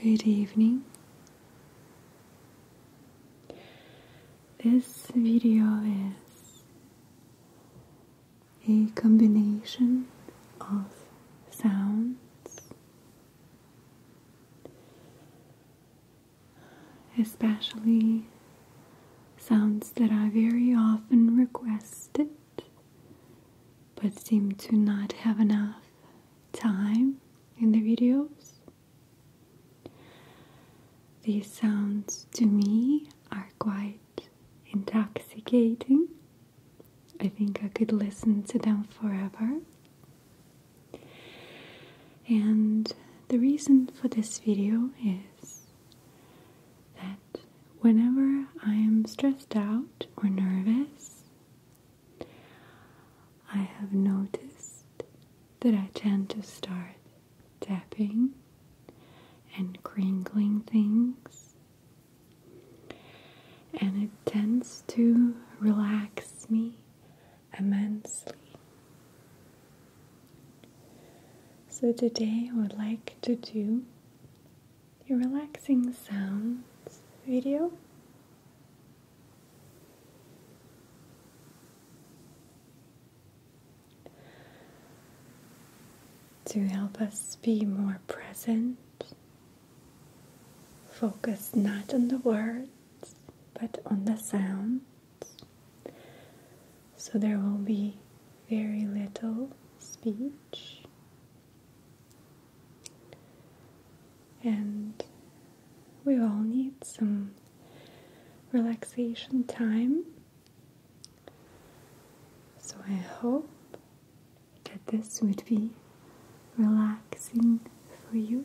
Good evening. This video is a combination of sounds especially sounds that I very often requested but seem to not have enough time in the videos. These sounds to me are quite intoxicating. I think I could listen to them forever. And the reason for this video is that whenever I am stressed out or nervous, I have noticed that I tend to start tapping and crinkling things, and it tends to relax me immensely. So, today I would like to do a relaxing sounds video. To help us be more present, Focus not on the words but on the sounds. So there will be very little speech. And we all need some relaxation time. So I hope that this would be relaxing for you.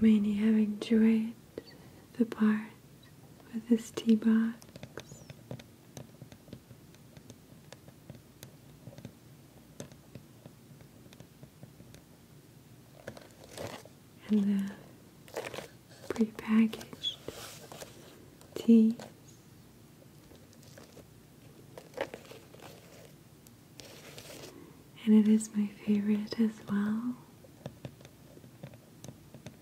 Many have enjoyed the parts with this tea box. And the prepackaged tea. And it is my favorite as well.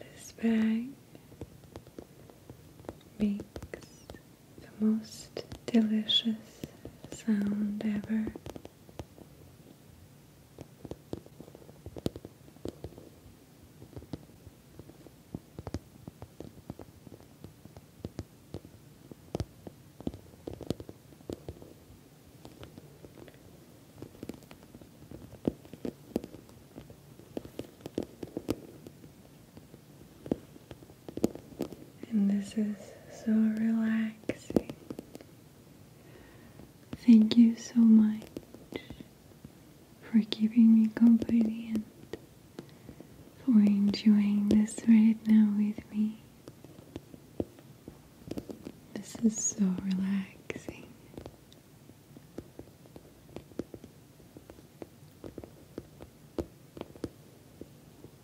This bag makes the most delicious sound ever. And this is so relaxing. Thank you so much for keeping me company and for enjoying this right now with me. This is so relaxing.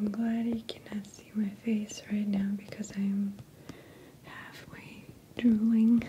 I'm glad you cannot see my face right now because I'm halfway drooling.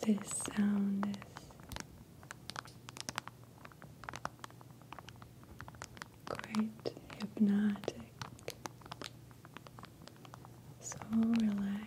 This sound is quite hypnotic, so relaxing.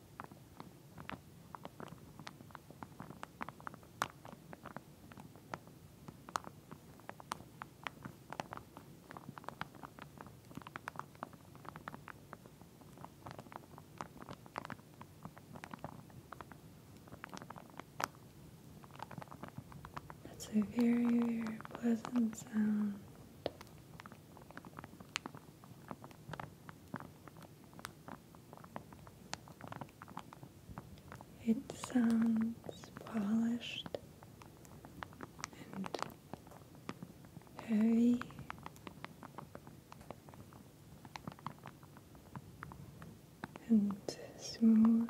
That's a very, very pleasant sound. It sounds polished and heavy. And smooth.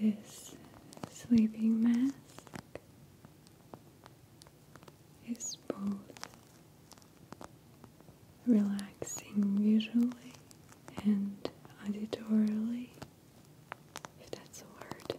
This sleeping mask is both relaxing visually and auditorily, if that's a word.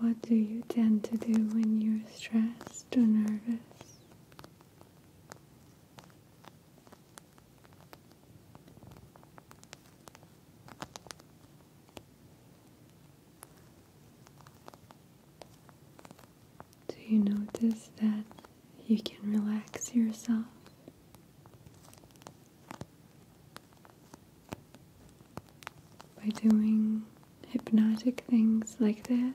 What do you tend to do when you're stressed or nervous? Do you notice that you can relax yourself? By doing hypnotic things like this,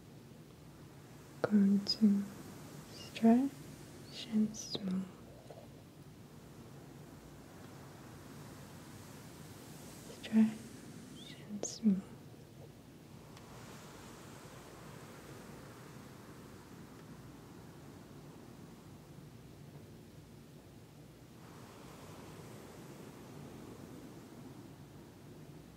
going to stretch and smooth. Stretch and smooth.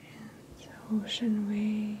and the ocean waves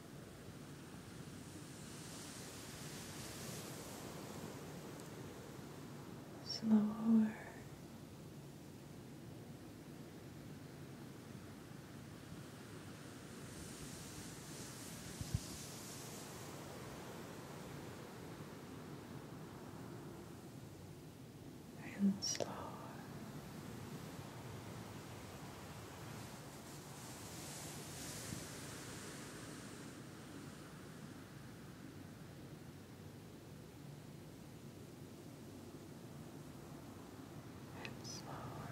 Slow. And slower and slower. Now